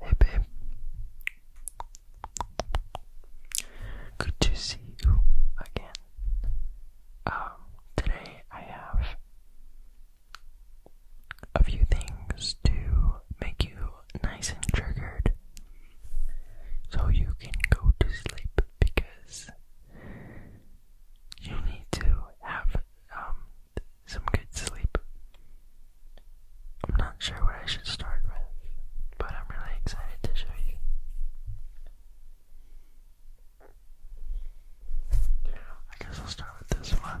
Hey babe. Good to see you again. Um, today I have a few things to make you nice and triggered so you can go to sleep because you need to have um some good sleep. I'm not sure what I should start with, but I'm really excited to show you. I guess I'll start with this one.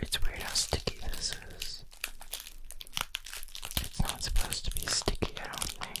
It's weird how sticky this is. It's not supposed to be sticky, I don't think.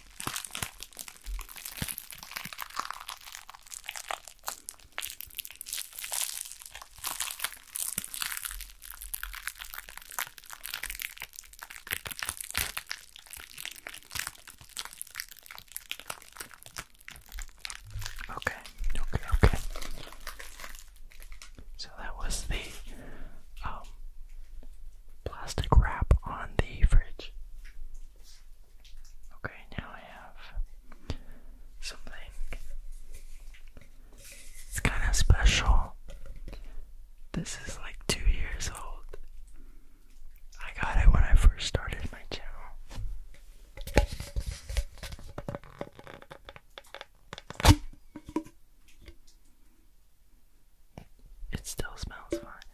Okay, okay, okay. So that was the um, plastic wrap on the fridge. Okay, now I have something. It's kind of special. This is like two years old. I got it when I first started my channel. It still smells fine.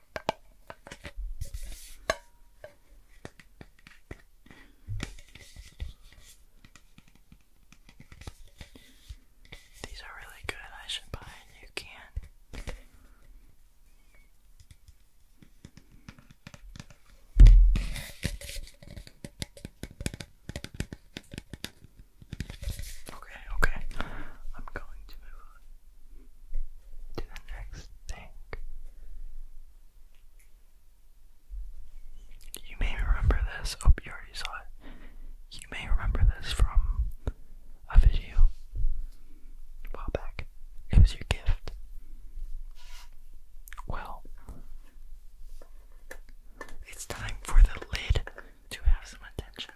These are really good. I should buy a new can. Okay, okay. I'm going to move on to the next thing. You may remember this, oh, you already saw it. You may remember this from a video a while back. It was your gift. Well, it's time for the lid to have some attention.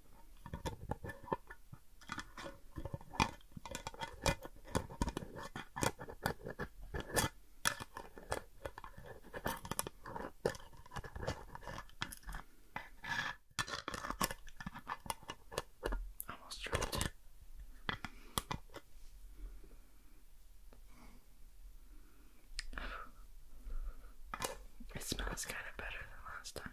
Almost dropped It smells kind of better than last time.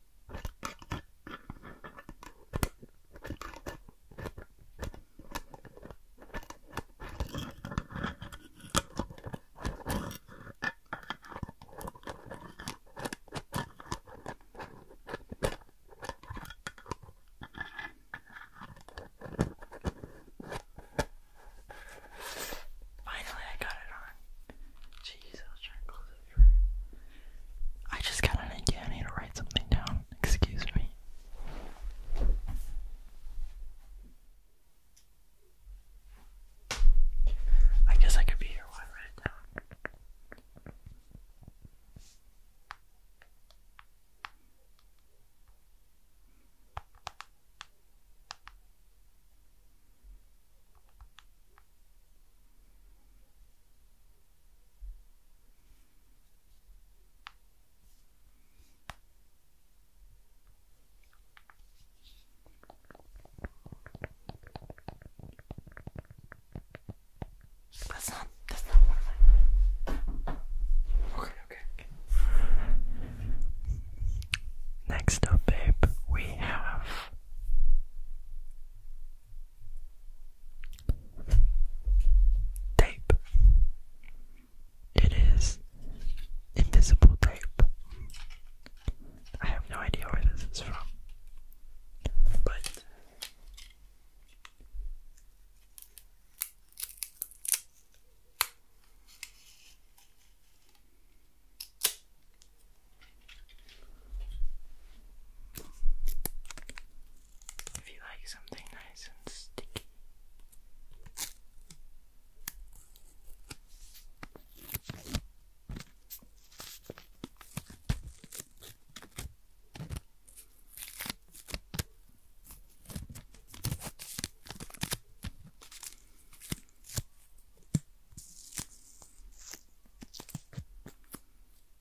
Finally, I got it on. Jeez, I was trying to close it. I just got an idea. I need to write something down. Excuse me. I guess I could be here while I write that's not that's not okay, okay. Next up, babe, we have Tape. It is invisible tape. I have no idea where this is from, but if you like something nice and sticky.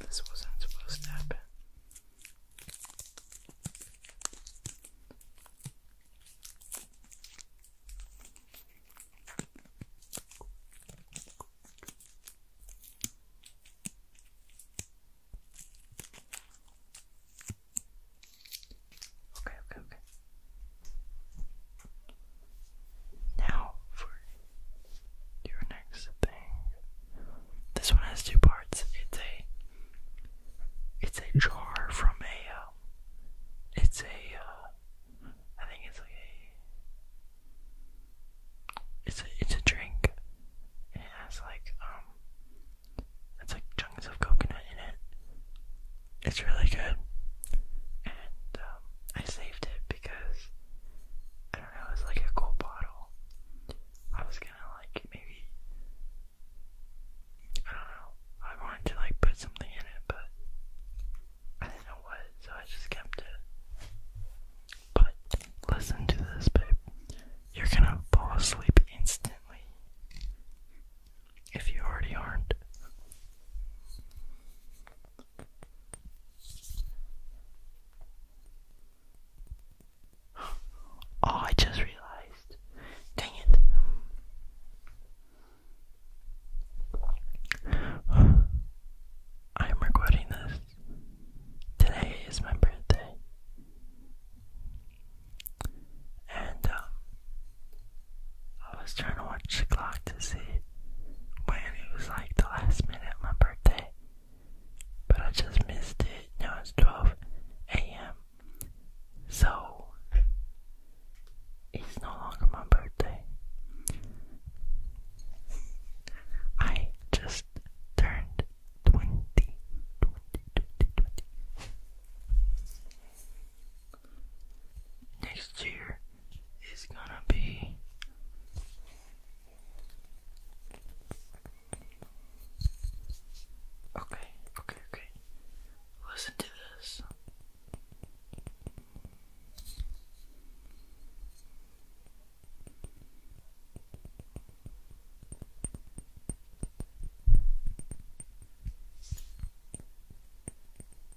This wasn't supposed to happen. Okay, okay, okay. Now for your next thing. This one has two parts. It's a it's a jar from a uh, it's a uh, think it's a it's a it's a drink. It has like um it's like chunks of coconut in it. It's really good. And um, I saved it because I don't know, it's like a cool bottle. I was gonna like maybe I don't know. I wanted to like put something in it, but I didn't know what, so I just kept it. But listen to this, babe. You're gonna fall asleep instantly if you already aren't. Oh, I just realized. Dang it. I am recording this. Today is my birthday. And um, I was trying to watch the clock to see when it was like the last minute of my birthday, but I just missed it. Now it's 12 a.m. So, it's no longer my birthday. I just turned 20, next year is gonna be Okay, okay, okay. Listen to this.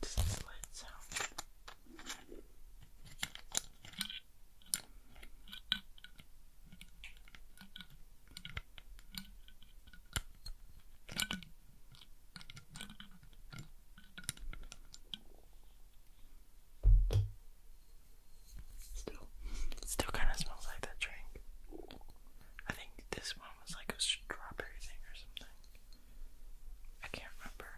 Just a slight sound. Still, still kind of smells like that drink. I think this one was like a strawberry thing or something. I can't remember.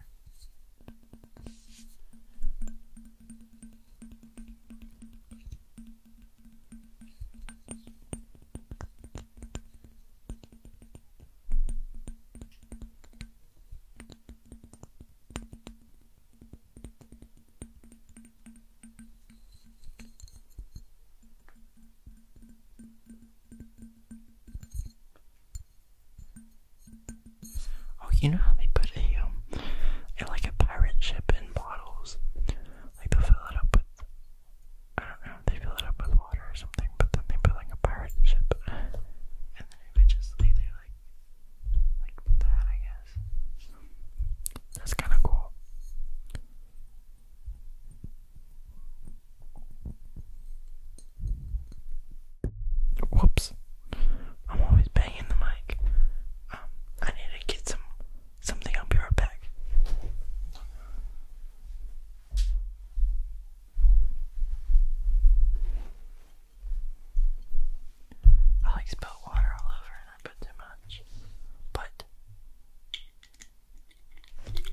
Oh, you know how they put a um, like a pirate ship in bottles. Like they fill it up with I don't know they fill it up with water or something, but then they put like a pirate ship and then eventually they like like put that I guess. That's kinda cool. Whoops. I'm always banging the mic. Um, I need to get some something. I'll be right back. I like spilled water all over and I put too much. But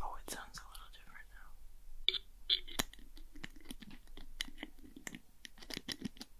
oh it sounds a little different now.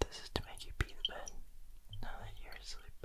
This is to make you pee the bed now that you're asleep.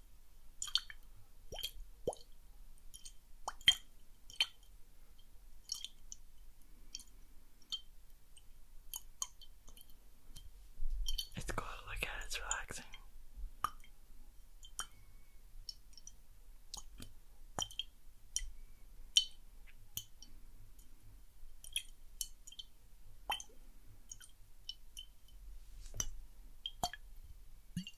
It's cool to look at, it's relaxing.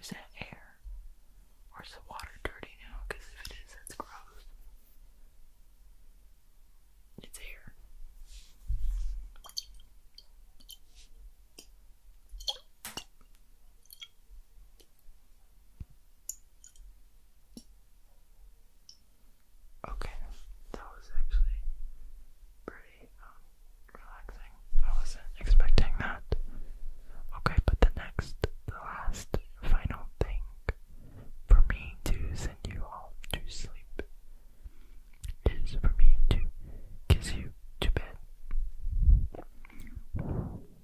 Is that air? Or is the water dirty now? Because if it is, that's gross. It's air. Okay, that was actually pretty um, relaxing. I wasn't expecting that. Okay, but the next, the last, final thing for me to send you all to sleep is for me to kiss you to bed.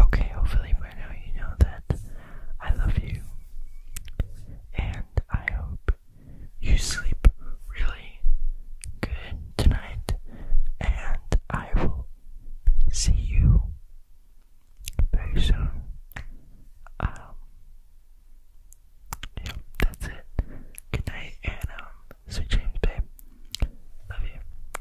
Okay, hopefully by now you know that I love you. And I hope you sleep really good tonight. And I will see you very soon. Um, yeah, that's it. Good night, and um, sweet dreams, babe. Love you.